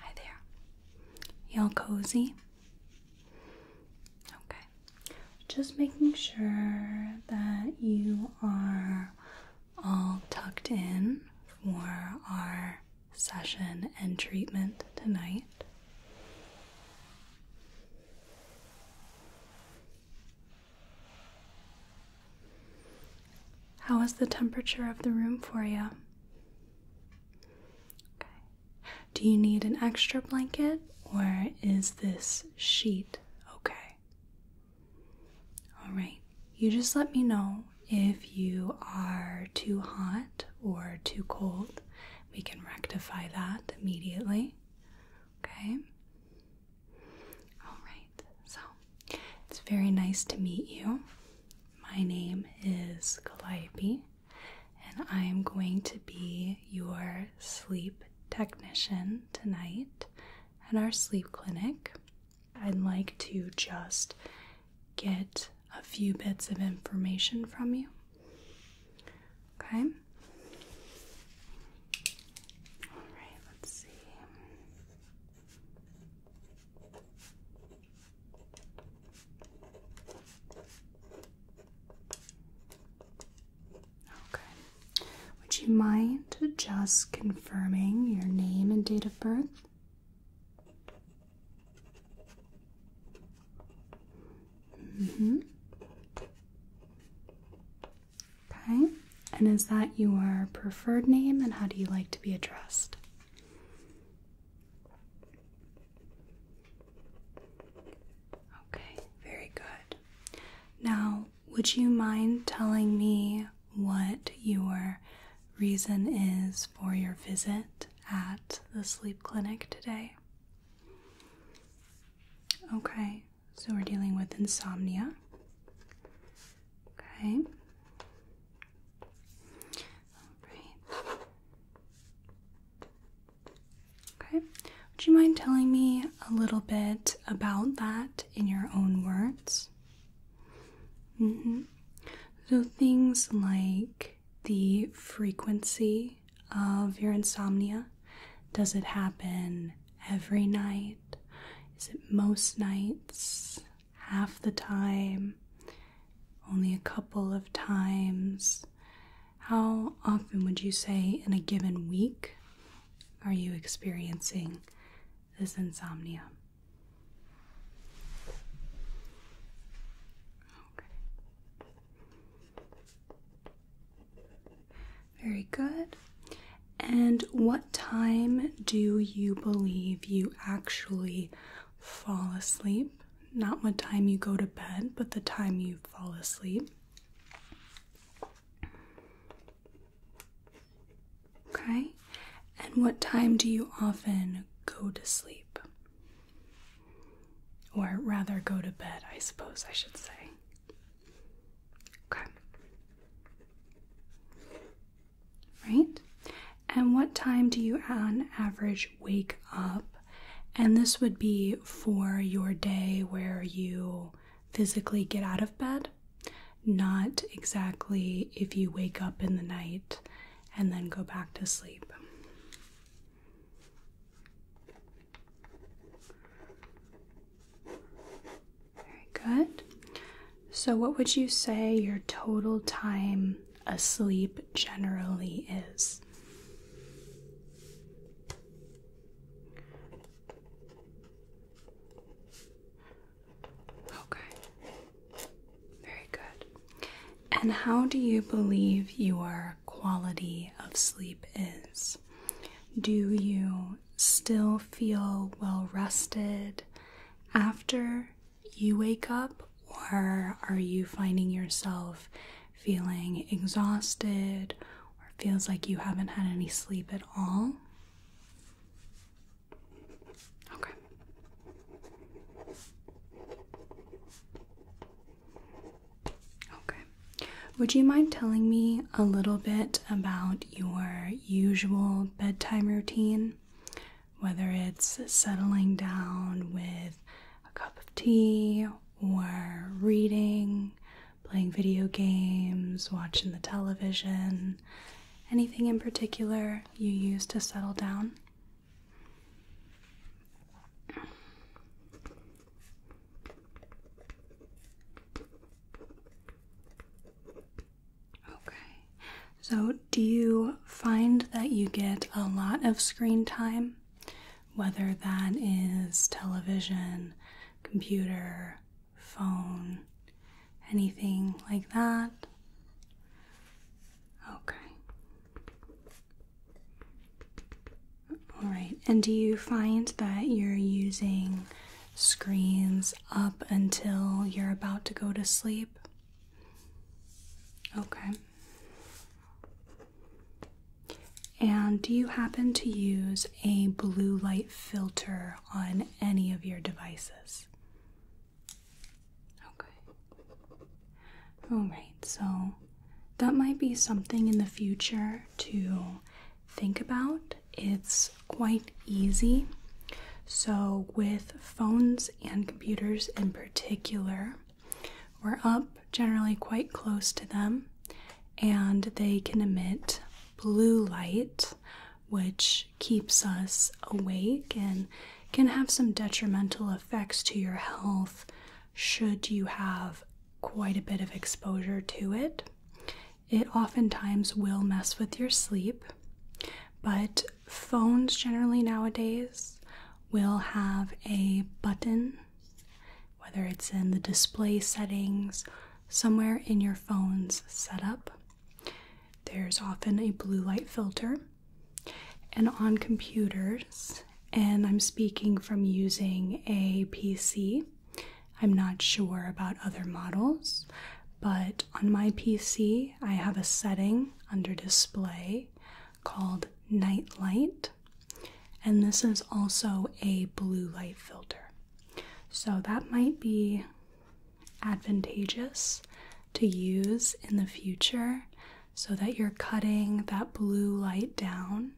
Hi there. Y'all cozy? Okay. Just making sure that you are all tucked in for our session and treatment tonight. How is the temperature of the room for you? Do you need an extra blanket or is this sheet okay? All right. You just let me know if you are too hot or too cold. We can rectify that immediately. Okay? All right. So it's very nice to meet you. My name is Calliope, and I am going to be your sleep technician tonight at our sleep clinic. I'd like to just get a few bits of information from you. Okay. All right, let's see. Okay. Would you mind just confirming your name and date of birth? Mm-hmm. Okay. And is that your preferred name and how do you like to be addressed? Okay, very good. Now, would you mind telling me what your reason is for your visit at the sleep clinic today? Okay, so we're dealing with insomnia. Okay. Alright. Okay. Would you mind telling me a little bit about that in your own words? Mm So things like the frequency of your insomnia. Does it happen every night? Is it most nights? half the time, only a couple of times? How often would you say in a given week are you experiencing this insomnia? Okay. Very good. And what time do you believe you actually fall asleep? Not what time you go to bed, but the time you fall asleep. Okay, and what time do you often go to sleep? Or rather, go to bed, I suppose I should say. Okay right? And what time do you, on average, wake up? And this would be for your day where you physically get out of bed, not exactly if you wake up in the night and then go back to sleep. Very good. So, what would you say your total time asleep generally is? Okay. Very good. And how do you believe your quality of sleep is? Do you still feel well rested after you wake up, or are you finding yourself feeling exhausted or feels like you haven't had any sleep at all? Okay. Okay. Would you mind telling me a little bit about your usual bedtime routine? whether it's settling down with a cup of tea or reading, playing video games, watching the television. Anything in particular you use to settle down? Okay. So, do you find that you get a lot of screen time? Whether that is television, computer, phone, anything like that? Okay. All right. And do you find that you're using screens up until you're about to go to sleep? Okay. And do you happen to use a blue light filter on any of your devices? Okay. Alright, so that might be something in the future to think about. It's quite easy. So, with phones and computers in particular, we're up generally quite close to them and they can emit blue light, which keeps us awake and can have some detrimental effects to your health should you have quite a bit of exposure to it. It oftentimes will mess with your sleep, but phones generally nowadays will have a button, whether it's in the display settings, somewhere in your phone's setup. There's often a blue light filter. And on computers, and I'm speaking from using a PC. I'm not sure about other models, but on my PC, I have a setting under display called night light, and this is also a blue light filter. So that might be advantageous to use in the future so that you're cutting that blue light down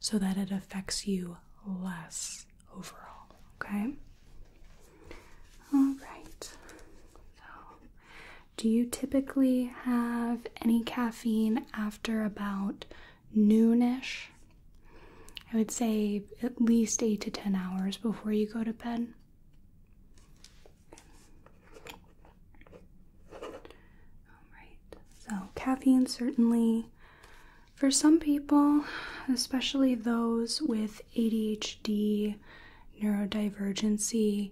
so that it affects you less overall, okay? All right. So, do you typically have any caffeine after about noonish? I would say at least 8 to 10 hours before you go to bed. Alright, so caffeine certainly, for some people, especially those with ADHD, neurodivergency,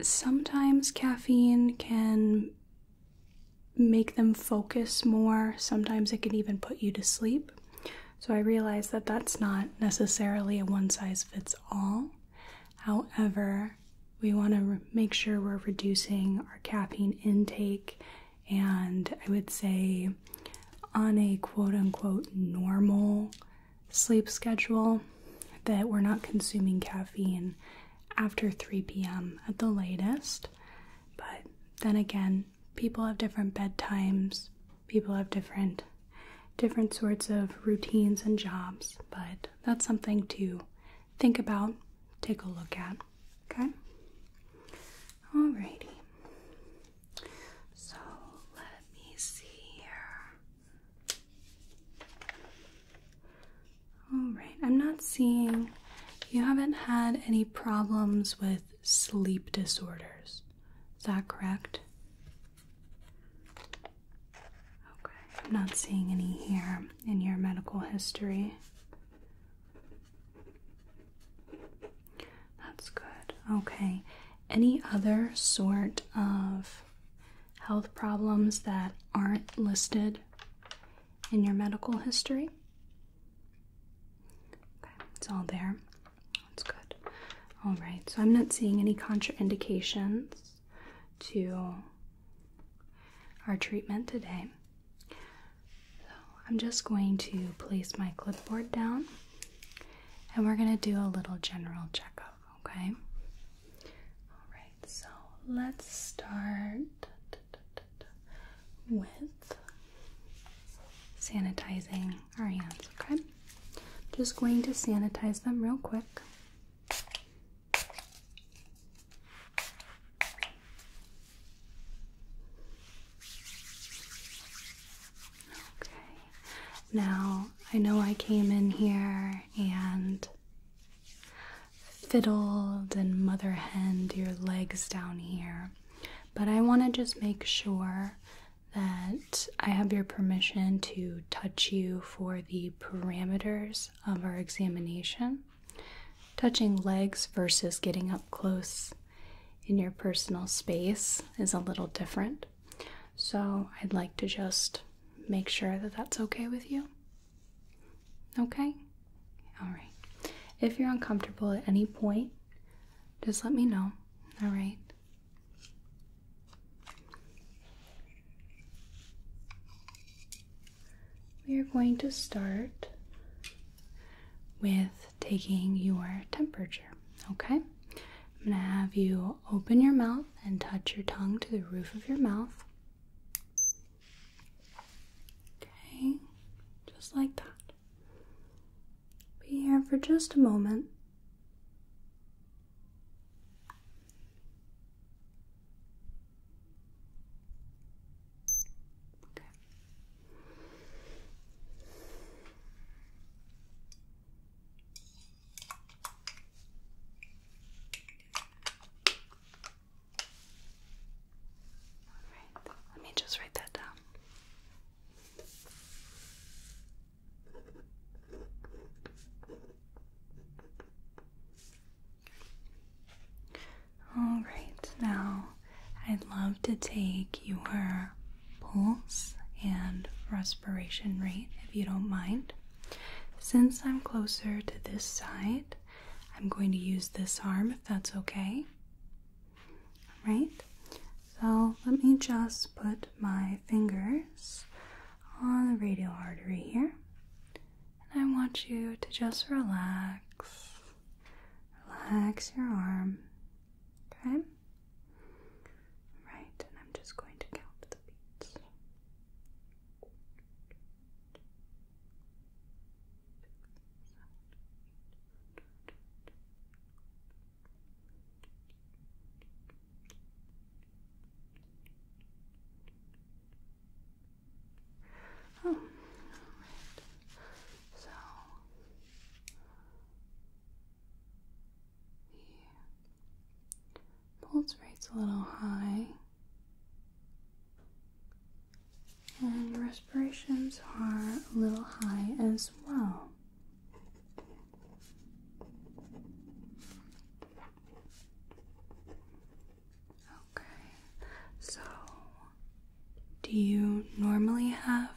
sometimes caffeine can make them focus more. Sometimes it can even put you to sleep. So I realize that that's not necessarily a one size fits all. However, we want to make sure we're reducing our caffeine intake, and I would say on a quote unquote normal sleep schedule, that we're not consuming caffeine after 3 p.m. at the latest. But then again, people have different bedtimes, people have different different sorts of routines and jobs, but that's something to think about, take a look at. Okay? Alrighty. So let me see here. Alright, I'm not seeing you haven't had any problems with sleep disorders. Is that correct? Okay, I'm not seeing any here in your medical history. That's good. Okay. Any other sort of health problems that aren't listed in your medical history? Okay, it's all there. That's good. All right, so I'm not seeing any contraindications to our treatment today. So I'm just going to place my clipboard down and we're going to do a little general checkup, okay? All right, so let's start with sanitizing our hands, okay? Just going to sanitize them real quick. Okay. Now, I know I came in here and fiddled and mother henned your legs down here, but I want to just make sure that I have your permission to touch you for the parameters of our examination. Touching legs versus getting up close in your personal space is a little different. So I'd like to just make sure that that's okay with you. Okay? Alright. If you're uncomfortable at any point, just let me know. Alright? We are going to start with taking your temperature. Okay? I'm going to have you open your mouth and touch your tongue to the roof of your mouth. Okay, just like that. Be here for just a moment. Okay. Alright, let me just write that down. All right, now I'd love to take your pulse and respiration rate if you don't mind. Since I'm closer to this side, I'm going to use this arm if that's okay. Right. So let me just put my fingers on the radial artery here. And I want you to just relax. Relax your arm. Okay? Right, and I'm just going to count the beats. Oh, So pulse rate's a little high, and respirations are a little high as well. Okay, so do you normally have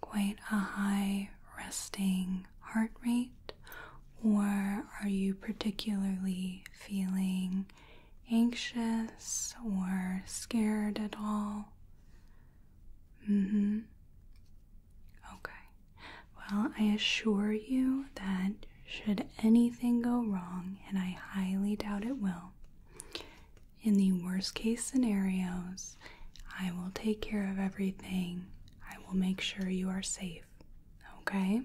quite a high resting heart rate, or are you particularly feeling anxious or scared at all? Mm hmm. Okay. Well, I assure you that should anything go wrong, and I highly doubt it will, in the worst case scenarios, I will take care of everything. I will make sure you are safe. Okay?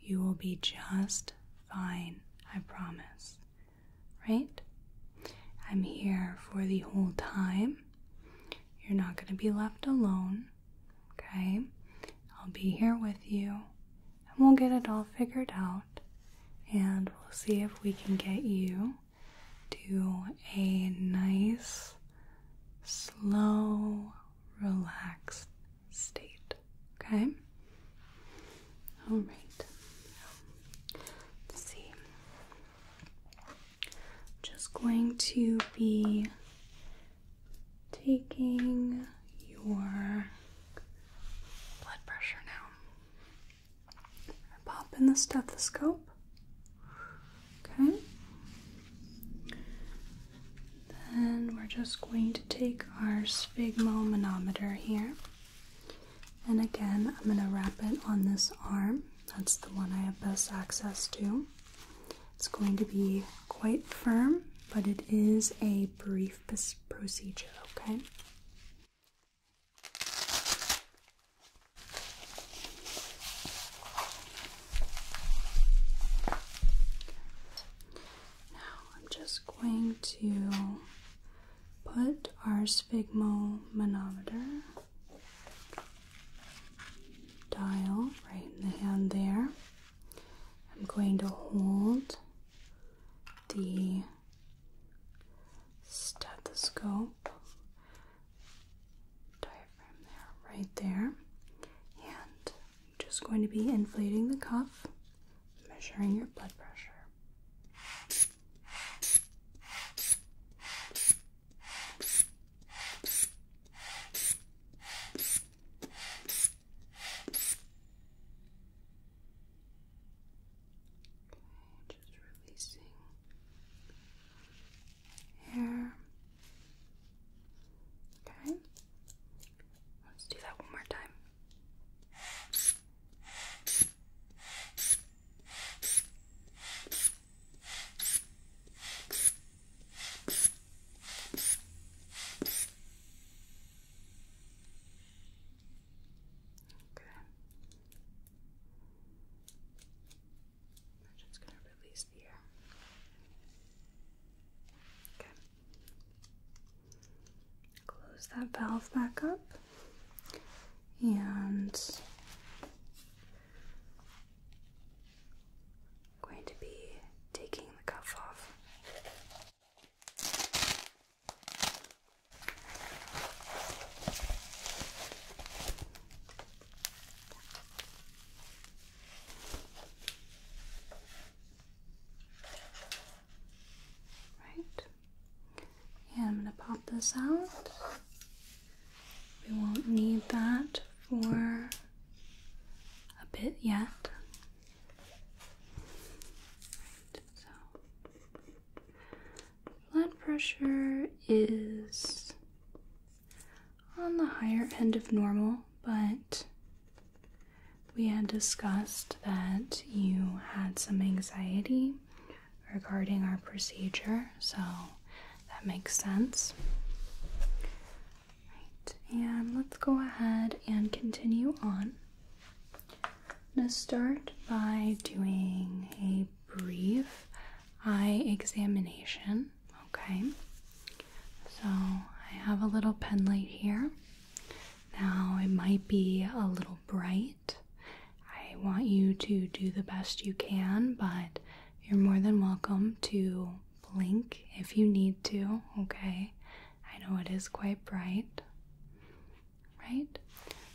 You will be just fine. I promise. Right? I'm here for the whole time. You're not going to be left alone. Okay? I'll be here with you. And we'll get it all figured out. And we'll see if we can get you do a nice, slow, relaxed state. Okay? Alright. see. Just going to be taking your blood pressure now. Pop in the stethoscope. Okay. Then we're just going to take our sphygmomanometer here. And again, I'm going to wrap it on this arm. That's the one I have best access to. It's going to be quite firm, but it is a brief procedure, okay? Now I'm just going to put our sphygmomanometer dial right in the hand there. I'm going to hold the stethoscope diaphragm there, right there. And I'm just going to be inflating the cuff, measuring your blood pressure. Okay, just releasing hair. Okay. Let's do that one more time. Okay just going to release the air. Okay. Close that valve back up and I'm going to be taking the cuff off. Right. And I'm going to pop this out. We won't need that for a bit yet. so Blood pressure is on the higher end of normal, but we had discussed that you had some anxiety regarding our procedure, so that makes sense. Right, and let's go ahead and continue on. I'm going to start by doing a brief eye examination. Okay, so I have a little pen light here. Now, it might be a little bright. I want you to do the best you can, but you're more than welcome to blink if you need to. Okay, I know it is quite bright, right?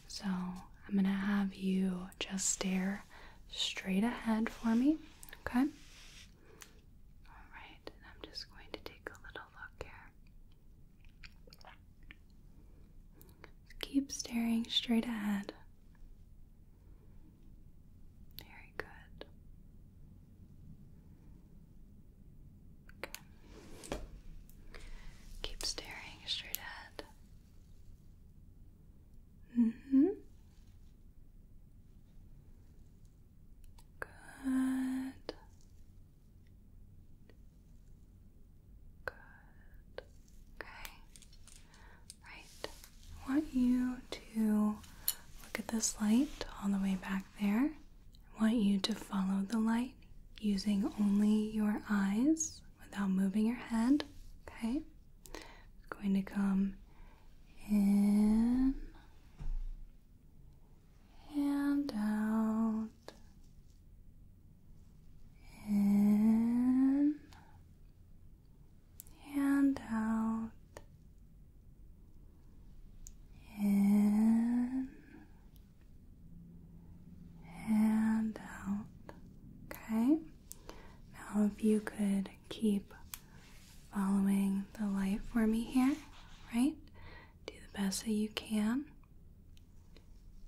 So, I'm gonna have you just stare straight ahead for me, okay? All right, and I'm just going to take a little look here. Keep staring straight ahead. Very good. Okay. Keep staring straight ahead. Mm hmm. Good. Good. Okay. Right. I want you to look at this light all the way back there. I want you to follow the light using only your eyes without moving your head. Okay? It's going to come in and out. In and out. In and out. Okay. Now, if you could keep following the light for me here, right? Do the best that you can.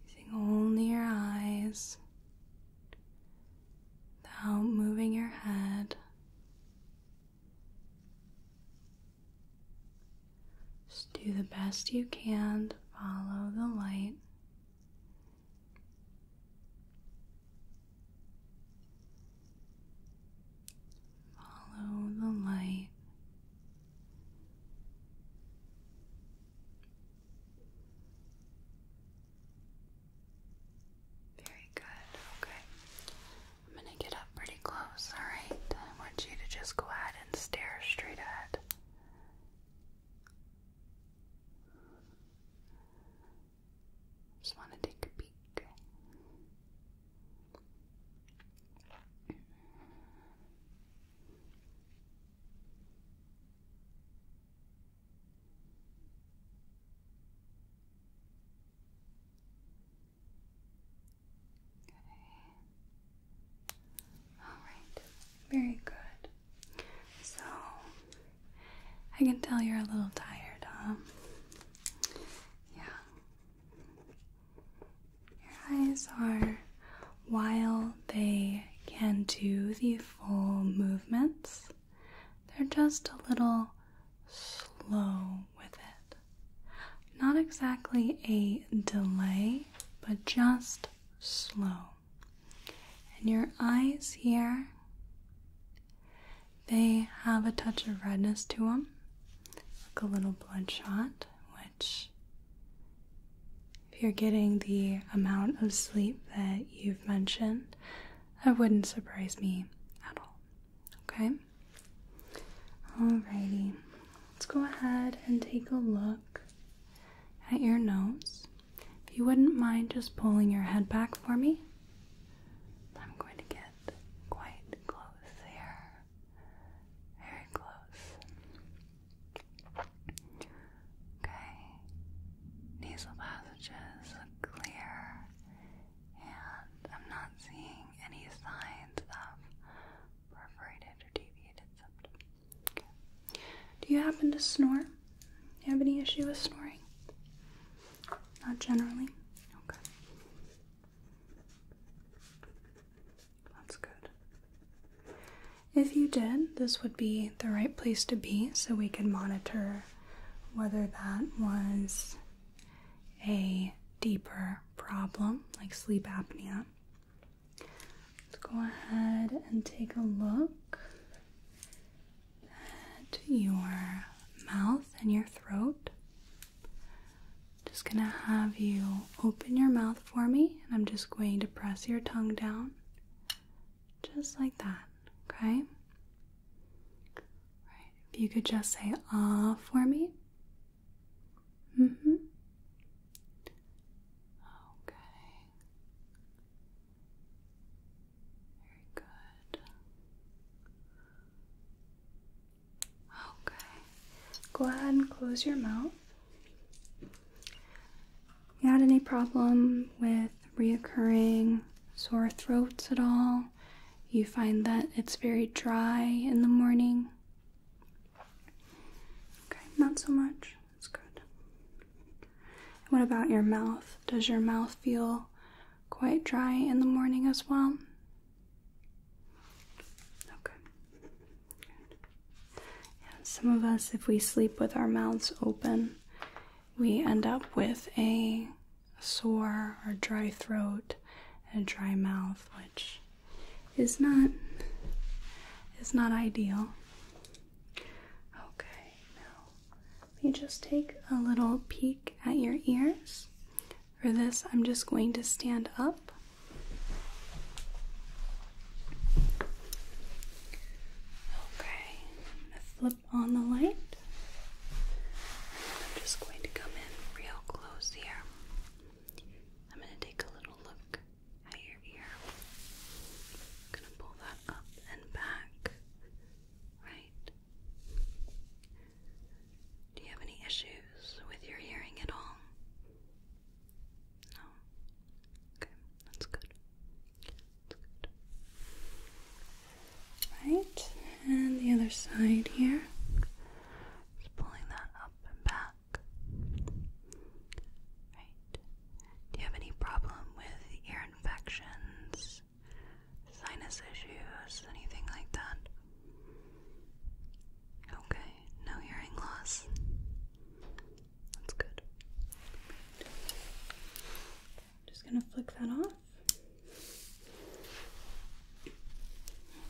Using only your eyes without moving your head. Just do the best you can to follow the light. Follow the light. Very good. Okay. I'm going to get up pretty close, alright? I want you to just go ahead and stare straight ahead. Just want to take a peek. Okay. All right. Very good. So I can tell you're a little tired, Yeah. Your eyes are, while they can do the full movements, they're just a little slow with it. Not exactly a delay, but just slow. And your eyes here, they have a touch of redness to them, look a little bloodshot, which, if you're getting the amount of sleep that you've mentioned, that wouldn't surprise me at all. Okay? Alrighty, let's go ahead and take a look at your nose. If you wouldn't mind just pulling your head back for me, I'm going to get quite close here. Very close. Okay. Nasal passages clear, and I'm not seeing any signs of perforated or deviated septum. Do you happen to snore? have any issue with snoring? Not generally? Okay. That's good. If you did, this would be the right place to be so we could monitor whether that was a deeper problem, like sleep apnea. Let's go ahead and take a look to your mouth and your throat. Just gonna have you open your mouth for me, and I'm just going to press your tongue down, just like that, okay? Right. If you could just say ah for me. Mm hmm. Okay. Very good. Okay. Go ahead and close your mouth. You had any problem with reoccurring sore throats at all? You find that it's very dry in the morning? Okay, not so much. That's good. What about your mouth? Does your mouth feel quite dry in the morning as well? Okay. Good. some of us, if we sleep with our mouths open, we end up with a sore or dry throat and dry mouth, which is not is not ideal. Okay now let me just take a little peek at your ears. For this, I'm just going to stand up. Okay, flip on the light. I'm just going to come in real close here. I'm gonna take a little look at your ear. I'm gonna pull that up and back. Right? Do you have any issues with your hearing at all? No? Okay, that's good. That's good. Right, and the other side here. Just pulling that up and back. Right. Do you have any problem with ear infections, sinus issues, anything like that? Okay, no hearing loss. That's good. just gonna flick that off.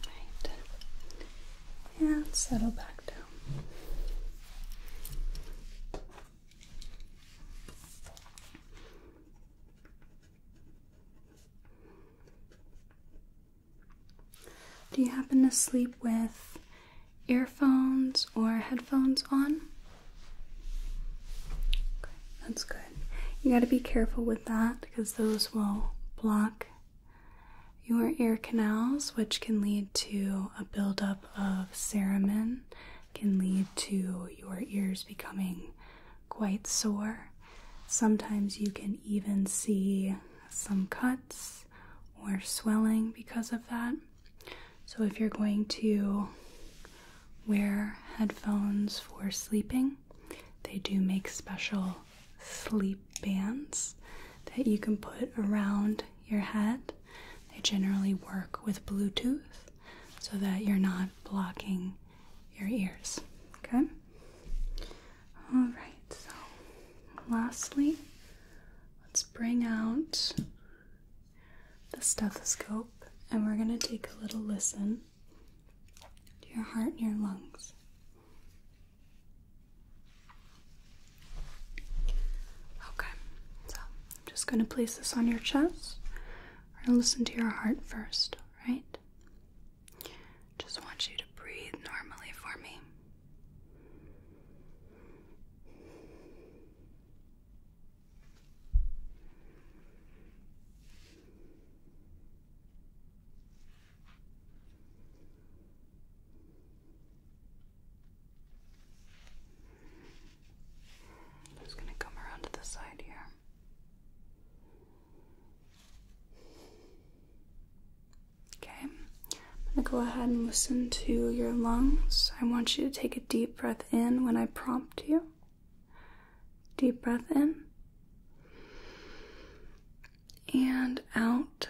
Alright. And settle back down. Do you happen to sleep with earphones or headphones on? that's good. You got to be careful with that because those will block your ear canals, which can lead to a buildup of cerumen can lead to your ears becoming quite sore. Sometimes you can even see some cuts or swelling because of that. So, if you're going to wear headphones for sleeping, they do make special sleep bands that you can put around your head. They generally work with Bluetooth, so that you're not blocking your ears. Okay? Alright, so lastly, let's bring out the stethoscope and we're going to take a little listen to your heart and your lungs. Okay, I'm just going to place this on your chest. We're listen to your heart first, right? Just want you to breathe normally for me. I'm just going to come around to the side here. Okay, I'm going to go ahead and listen to your lungs. I want you to take a deep breath in when I prompt you. Deep breath in and out.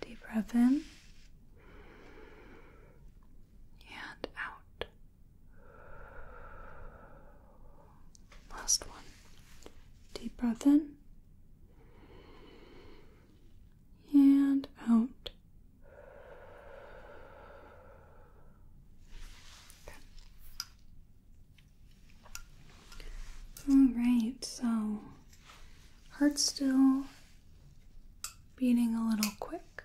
Deep breath in and out. Last one. Deep breath in and out. All right, so heart still beating a little quick,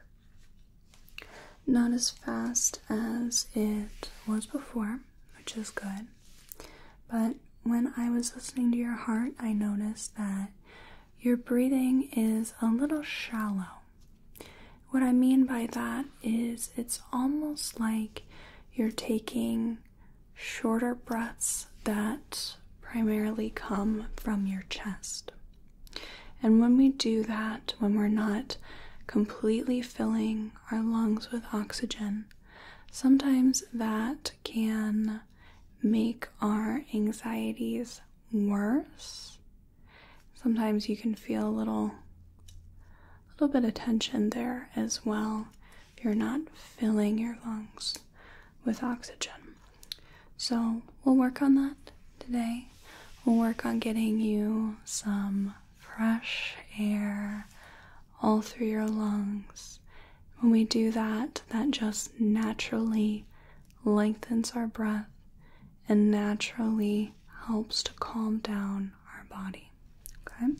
not as fast as it was before, which is good. But when I was listening to your heart, I noticed that your breathing is a little shallow. What I mean by that is it's almost like you're taking shorter breaths that primarily come from your chest. And when we do that, when we're not completely filling our lungs with oxygen, sometimes that can make our anxieties worse. Sometimes you can feel a little little bit of tension there as well if you're not filling your lungs with oxygen. So we'll work on that today. We'll work on getting you some fresh air all through your lungs. When we do that, that just naturally lengthens our breath and naturally helps to calm down our body. Okay?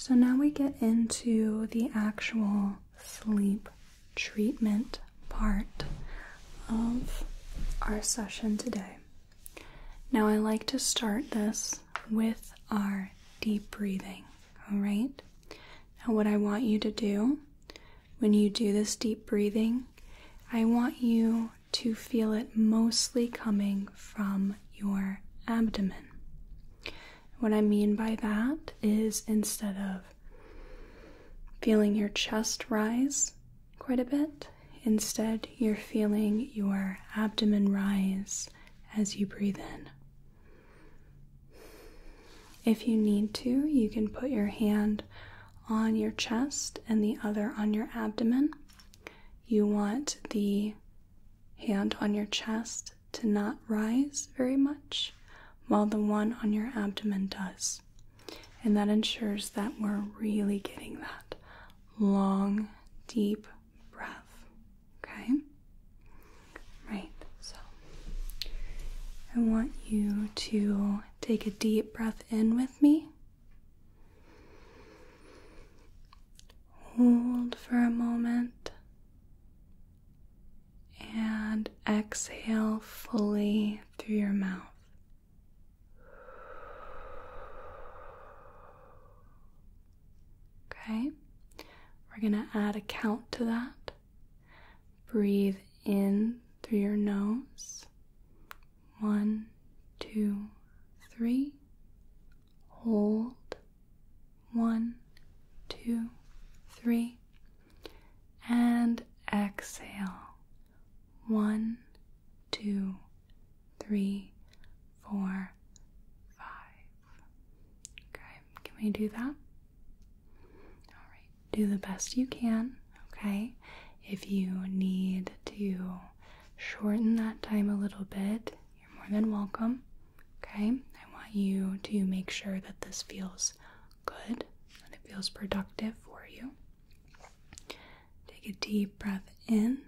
So now we get into the actual sleep treatment part of our session today. Now, I like to start this with our deep breathing, all right? Now, what I want you to do when you do this deep breathing, I want you to feel it mostly coming from your abdomen. What I mean by that is instead of feeling your chest rise quite a bit, instead, you're feeling your abdomen rise as you breathe in. If you need to, you can put your hand on your chest and the other on your abdomen. You want the hand on your chest to not rise very much, while the one on your abdomen does. And that ensures that we're really getting that long, deep breath. Okay? Right, so I want you to take a deep breath in with me. Hold for a moment and exhale fully through your mouth. Okay, we're going to add a count to that. Breathe in through your nose. One, two, three. Hold. One, two, three. And exhale. One, two, three, four, five. Okay, can we do that? Alright, do the best you can, okay? If you need to shorten that time a little bit, you're more than welcome, okay? I want you to make sure that this feels good and it feels productive for you. Take a deep breath in.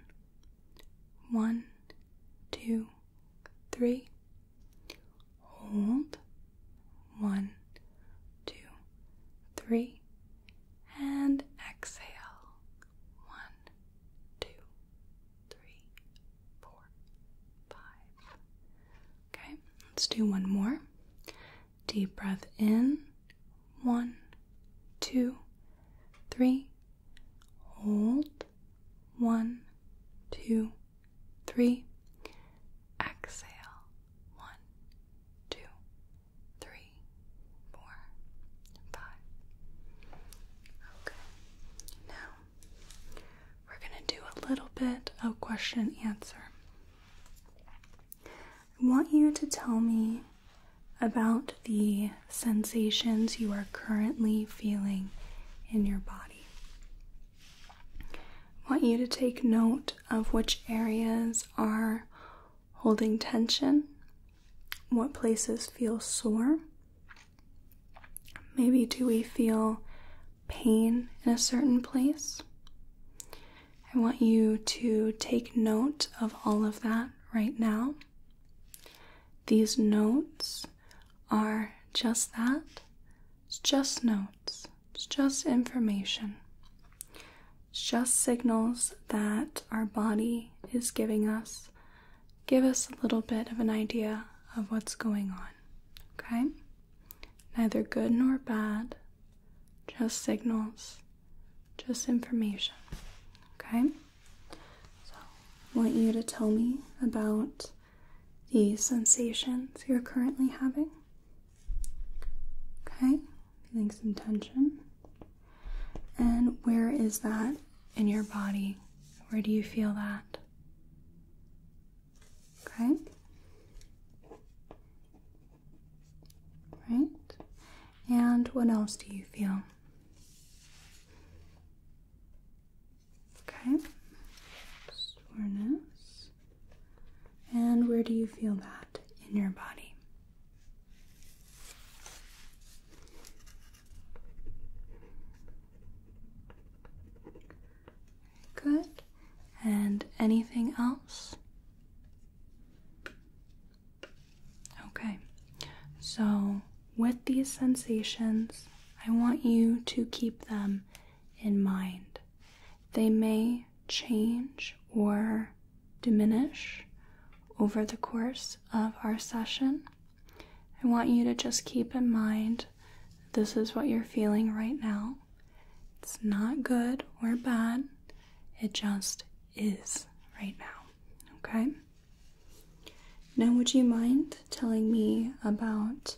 One, two, three. Hold. One, two, three, and exhale. One, two, three, four, five. Okay, let's do one more. Deep breath in. One, two, three. Hold. One, two, three. Exhale. One, two, three, four, five. Okay. Now we're going to do a little bit of question answer. I want you to tell me about the sensations you are currently feeling in your body want you to take note of which areas are holding tension, what places feel sore. Maybe do we feel pain in a certain place? I want you to take note of all of that right now. These notes are just that it's just notes, it's just information, it's just signals that our body is giving us. Give us a little bit of an idea of what's going on, okay? Neither good nor bad, just signals, just information, okay? So, I want you to tell me about these sensations you're currently having. Okay, feeling some tension. And where is that in your body? Where do you feel that? Okay. Right. And what else do you feel? Okay. Soreness. And where do you feel that in your body? Good. And anything else? Okay, so with these sensations, I want you to keep them in mind. They may change or diminish over the course of our session. I want you to just keep in mind this is what you're feeling right now. It's not good or bad, it just is right now. Okay? Now, would you mind telling me about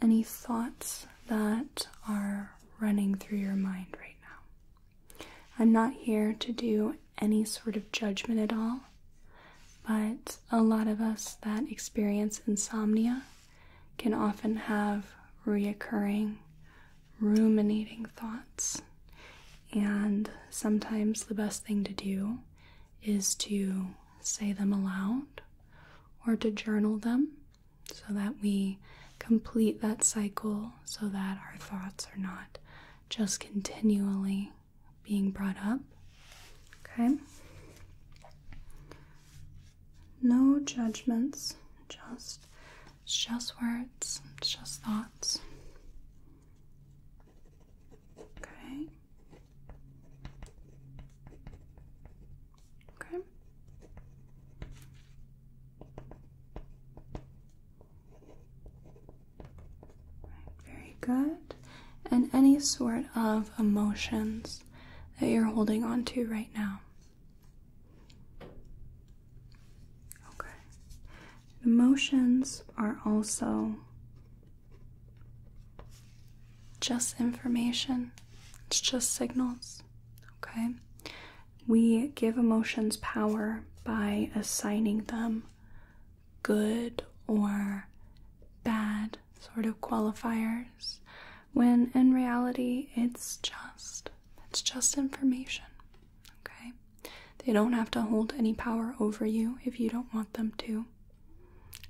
any thoughts that are running through your mind right now. I'm not here to do any sort of judgment at all, but a lot of us that experience insomnia can often have reoccurring, ruminating thoughts. And sometimes the best thing to do is to say them aloud or to journal them so that we complete that cycle so that our thoughts are not just continually being brought up. Okay? No judgments, just just words, just thoughts. Okay. Okay. very good. And any sort of emotions that you're holding on to right now. Okay. Emotions are also just information, it's just signals. Okay? We give emotions power by assigning them good or bad sort of qualifiers when in reality it's just it's just information. Okay? They don't have to hold any power over you if you don't want them to.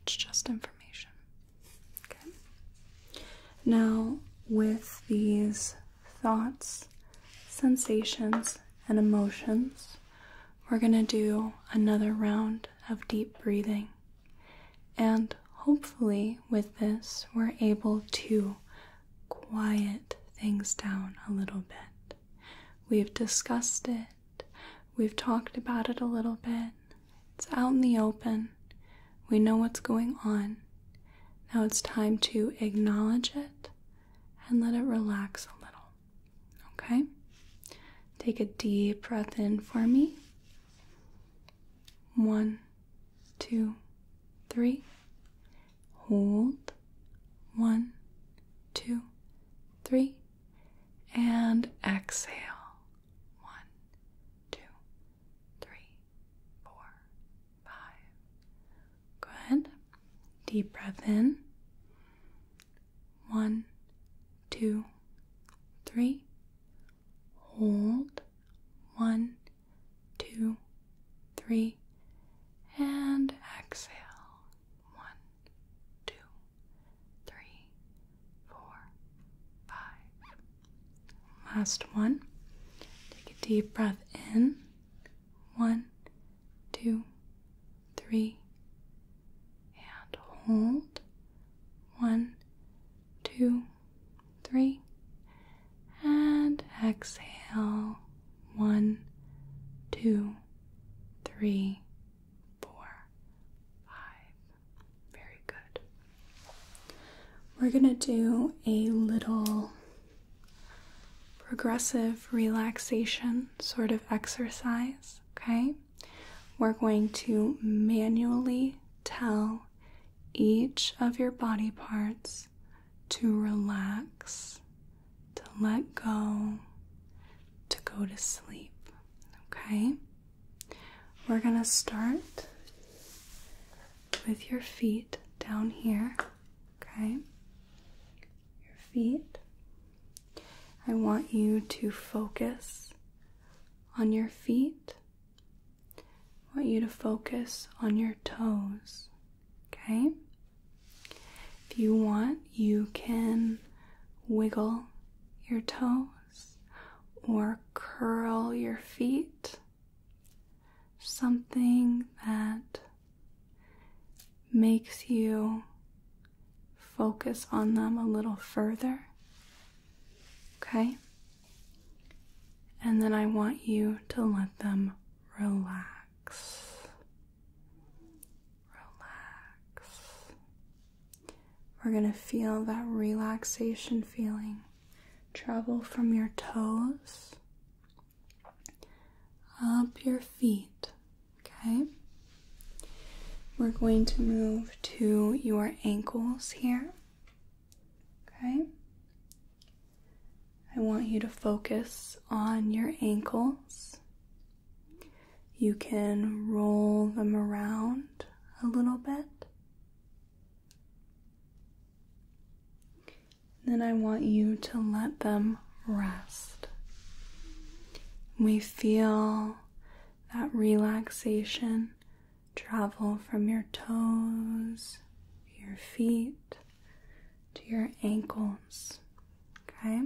It's just information. Now, with these thoughts, sensations, and emotions, we're going to do another round of deep breathing. And hopefully, with this, we're able to quiet things down a little bit. We've discussed it, we've talked about it a little bit, it's out in the open. We know what's going on. Now it's time to acknowledge it and let it relax a little. Okay? Take a deep breath in for me. One, two, three. Hold. One, two, three. And exhale. One, two, three, four, five. Good. Deep breath in. One, two, three. Hold. One, two, three. And exhale. One, two, three, four, five. Last one. Take a deep breath in. One, two, three, and hold. One, two, three, and exhale. One, two, three, four, five. Very good. We're going to do a little progressive relaxation sort of exercise, okay? We're going to manually tell each of your body parts to relax, to let go, to go to sleep, okay? We're going to start with your feet down here, okay? Your feet. I want you to focus on your feet. I want you to focus on your toes, okay? If you want, you can wiggle your toe or curl your feet, something that makes you focus on them a little further. Okay? And then I want you to let them relax. Relax. We're going to feel that relaxation feeling travel from your toes up your feet. Okay, we're going to move to your ankles here. Okay, I want you to focus on your ankles. You can roll them around a little bit. Then I want you to let them rest. We feel that relaxation travel from your toes, your feet, to your ankles. Okay?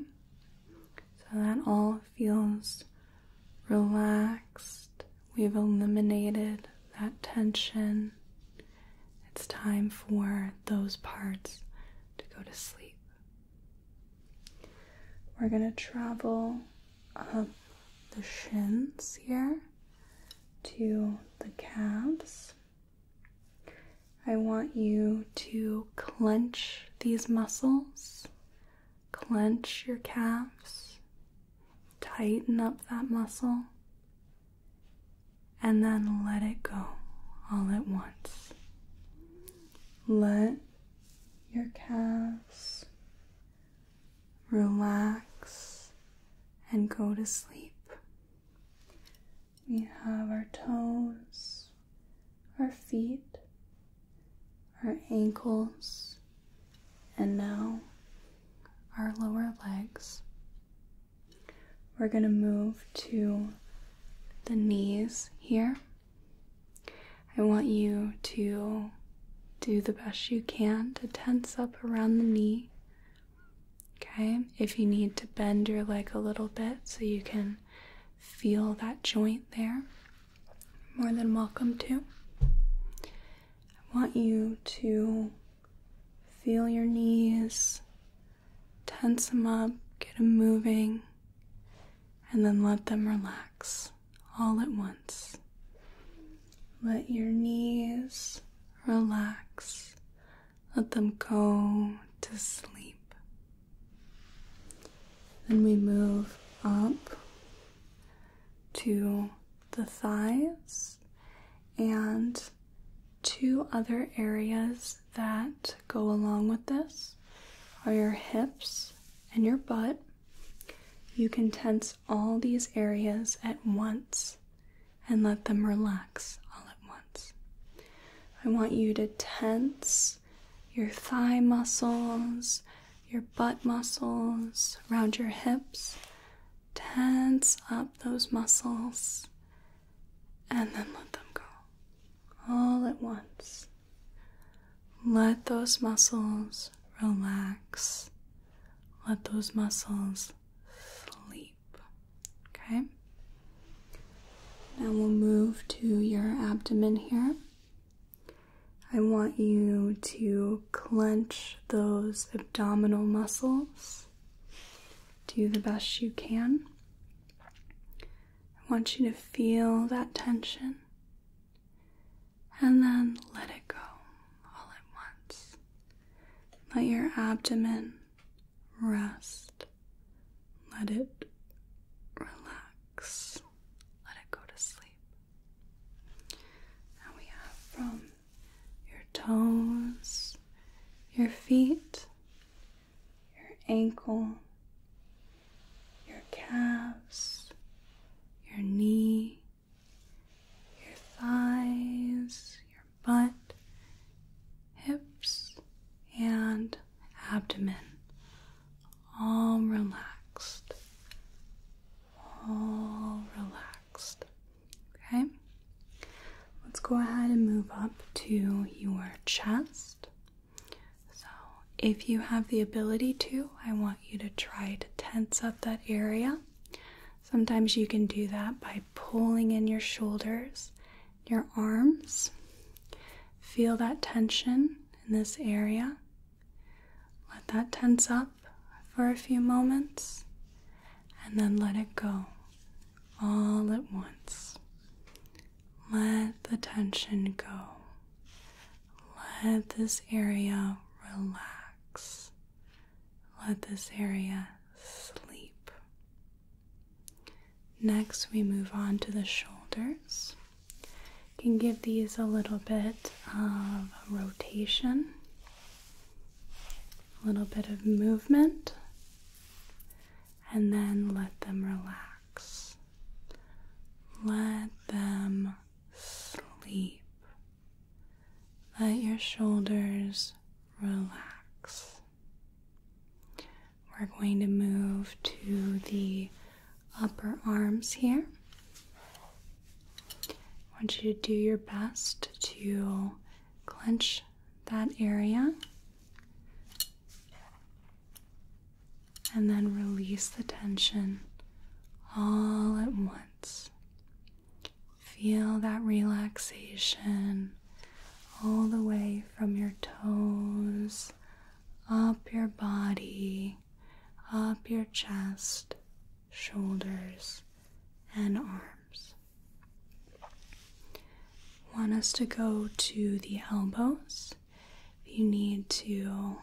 So that all feels relaxed. We've eliminated that tension. It's time for those parts to go to sleep. We're going to travel up the shins here to the calves. I want you to clench these muscles Clench your calves, tighten up that muscle, and then let it go all at once. Let your calves relax and go to sleep. We have our toes, our feet, our ankles, and now our lower legs. We're going to move to the knees here. I want you to do the best you can to tense up around the knee. Okay, if you need to bend your leg a little bit so you can feel that joint there, more than welcome to. I want you to feel your knees, tense them up, get them moving, and then let them relax all at once. Let your knees relax. Let them go to sleep. Then we move up to the thighs and two other areas that go along with this are your hips and your butt. You can tense all these areas at once and let them relax all at once. I want you to tense your thigh muscles, your butt muscles around your hips. Tense up those muscles and then let them go all at once. Let those muscles relax. Let those muscles sleep. Okay? Now we'll move to your abdomen here. I want you to clench those abdominal muscles. Do the best you can. I want you to feel that tension and then let it go all at once. Let your abdomen rest. Let it relax. Let it go to sleep. And we have from your toes, your feet, your ankle, your calves, your knee, your thighs, your butt, hips, and abdomen. All relaxed. All relaxed. Okay, let's go ahead and move up to your chest. So, if you have the ability to, I want you to try to tense up that area. Sometimes you can do that by pulling in your shoulders, your arms. Feel that tension in this area. Let that tense up for a few moments and then let it go all at once. Let the tension go. Let this area relax. Let this area sleep. Next, we move on to the shoulders. can give these a little bit of rotation a little bit of movement, and then let them relax. Let them sleep. Let your shoulders relax. We're going to move to the upper arms here. I want you to do your best to clench that area and then release the tension all at once. Feel that relaxation all the way from your toes, up your body, up your chest, shoulders, and arms. Want us to go to the elbows. You need to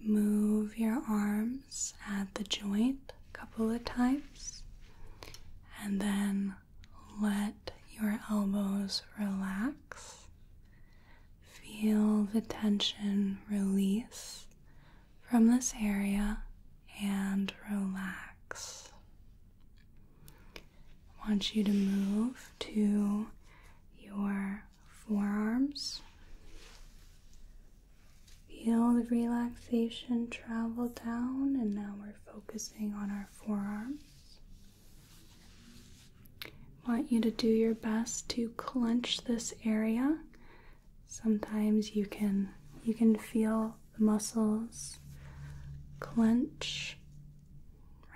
move your arms at the joint a couple of times and then let your elbows relax. Feel the tension release from this area and relax. I want you to move to your forearms. Feel the relaxation travel down, and now we're focusing on our forearms. I want you to do your best to clench this area sometimes you can you can feel the muscles clench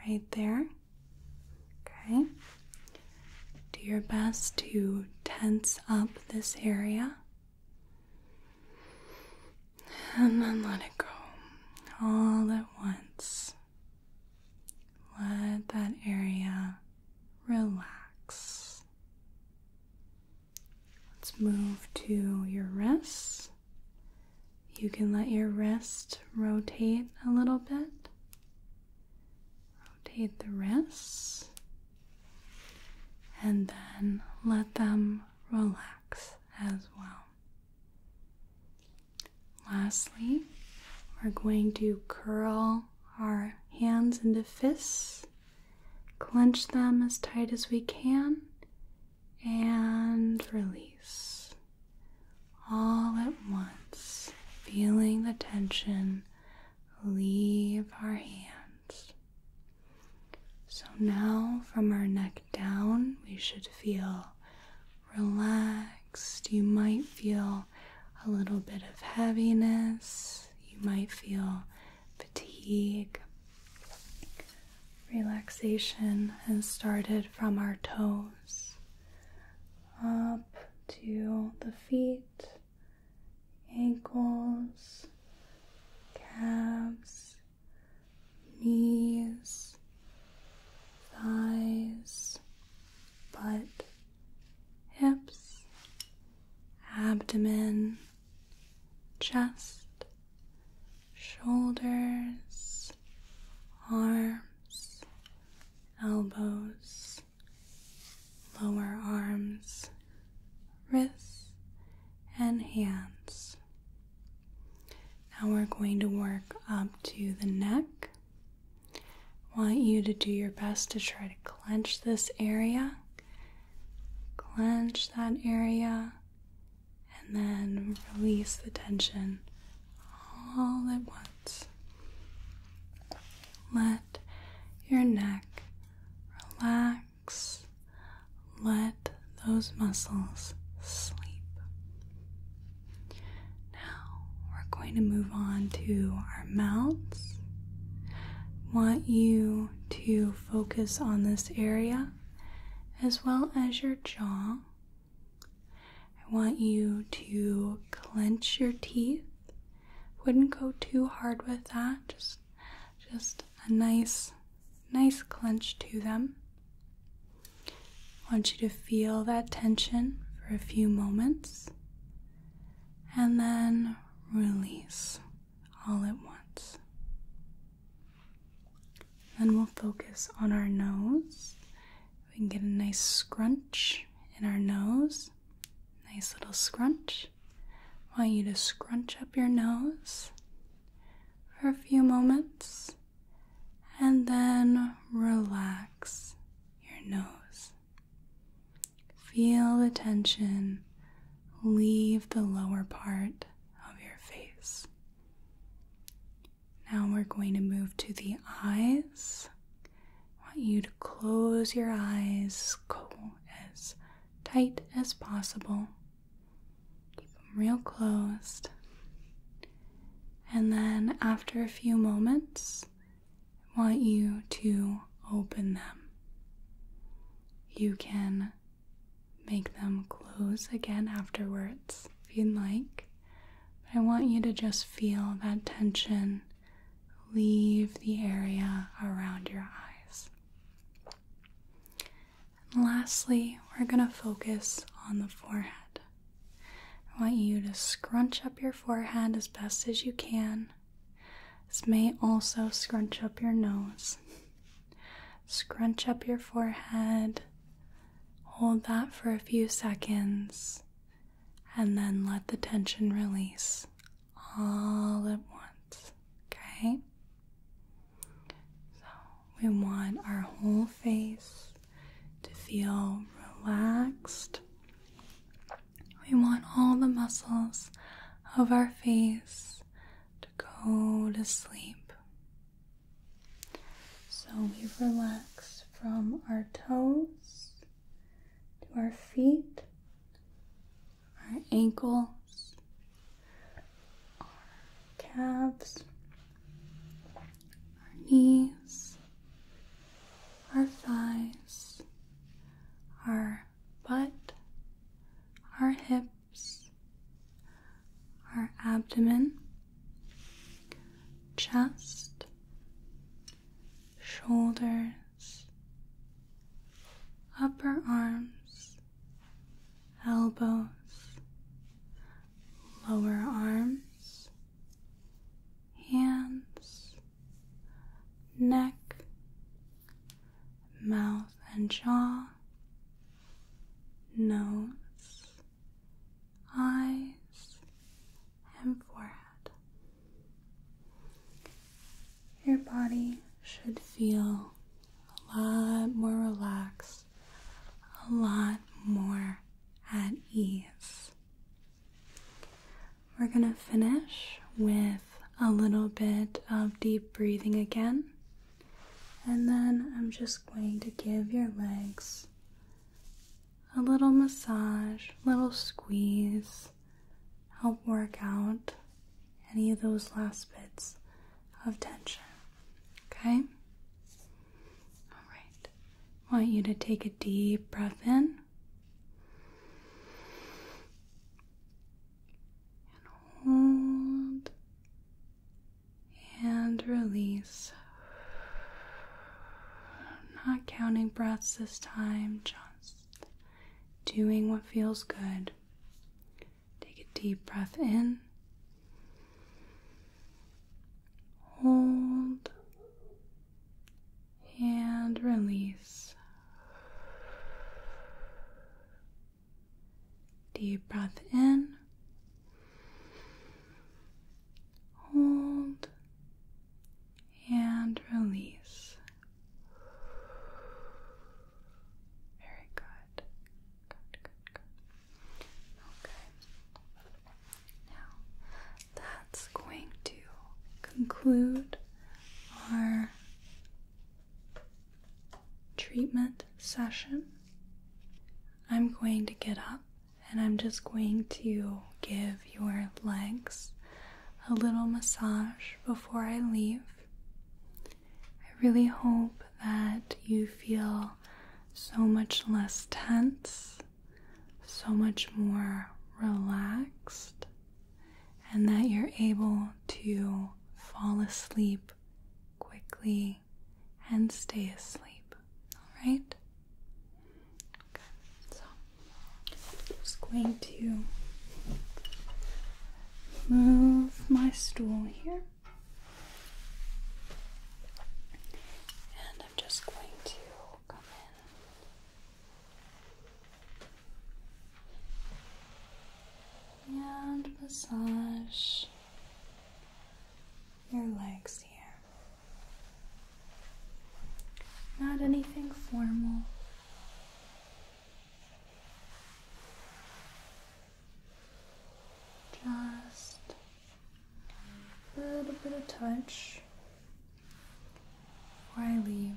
right there okay do your best to tense up this area and then let it go all at once let that area relax Let's move to your wrists. You can let your wrist rotate a little bit. Rotate the wrists and then let them relax as well. Lastly, we're going to curl our hands into fists Clench them as tight as we can and release all at once, feeling the tension leave our hands. So now from our neck down, we should feel relaxed. You might feel a little bit of heaviness you might feel fatigue. Relaxation has started from our toes up to the feet, ankles, calves, knees, thighs, butt hips, abdomen, chest, shoulders, arms, elbows, lower arms, wrists, and hands. Now we're going to work up to the neck. want you to do your best to try to clench this area Clench that area and then release the tension all at once. Let your neck relax. Let those muscles sleep. Now we're going to move on to our mouths want you to focus on this area as well as your jaw. I want you to clench your teeth. Wouldn't go too hard with that. Just just a nice nice clench to them. I want you to feel that tension for a few moments. And then release all at once. Then we'll focus on our nose. We can get a nice scrunch in our nose. Nice little scrunch. I want you to scrunch up your nose for a few moments and then relax your nose Feel the tension leave the lower part of your face. Now we're going to move to the eyes. I want you to close your eyes as tight as possible. Keep them real closed. And then after a few moments, I want you to open them. You can make them close again afterwards if you'd like. But I want you to just feel that tension leave the area around your eyes. And lastly, we're going to focus on the forehead. I want you to scrunch up your forehead as best as you can this may also scrunch up your nose. Scrunch up your forehead. Hold that for a few seconds and then let the tension release all at once. Okay? So we want our whole face to feel relaxed we want all the muscles of our face to go to sleep. So we relax from our toes to our feet, our ankles, our calves, our knees, our thighs, our but, our hips, our abdomen, chest, shoulders, upper arms, elbows, lower arms, hands, neck, mouth and jaw, nose, eyes, and forehead. Your body should feel a lot more relaxed, a lot more at ease. We're going to finish with a little bit of deep breathing again. And then I'm just going to give your legs a little massage, little squeeze, help work out any of those last bits of tension. Okay? All right. want you to take a deep breath in and hold and release. not counting breaths this time, just doing what feels good. Take a deep breath in. Hold and release. Deep breath in, hold, and release. Very good. Good, good, good. Okay. Now, that's going to conclude our treatment session, I'm going to get up and I'm just going to give your legs a little massage before I leave. I really hope that you feel so much less tense, so much more relaxed and that you're able to fall asleep quickly and stay asleep. All right? so I'm just going to move my stool here. And I'm just going to come in and massage your legs here. Not anything formal. Just a little bit of touch before I leave.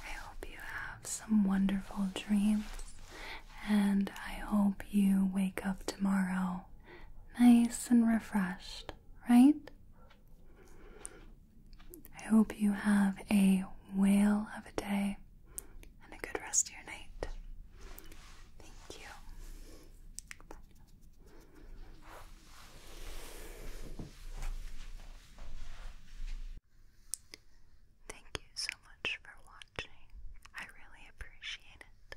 I hope you have some wonderful dreams, and I hope you wake up tomorrow nice and refreshed, right? I hope you have a whale of a day and a good rest of your night. Thank you. Thank you so much for watching. I really appreciate it.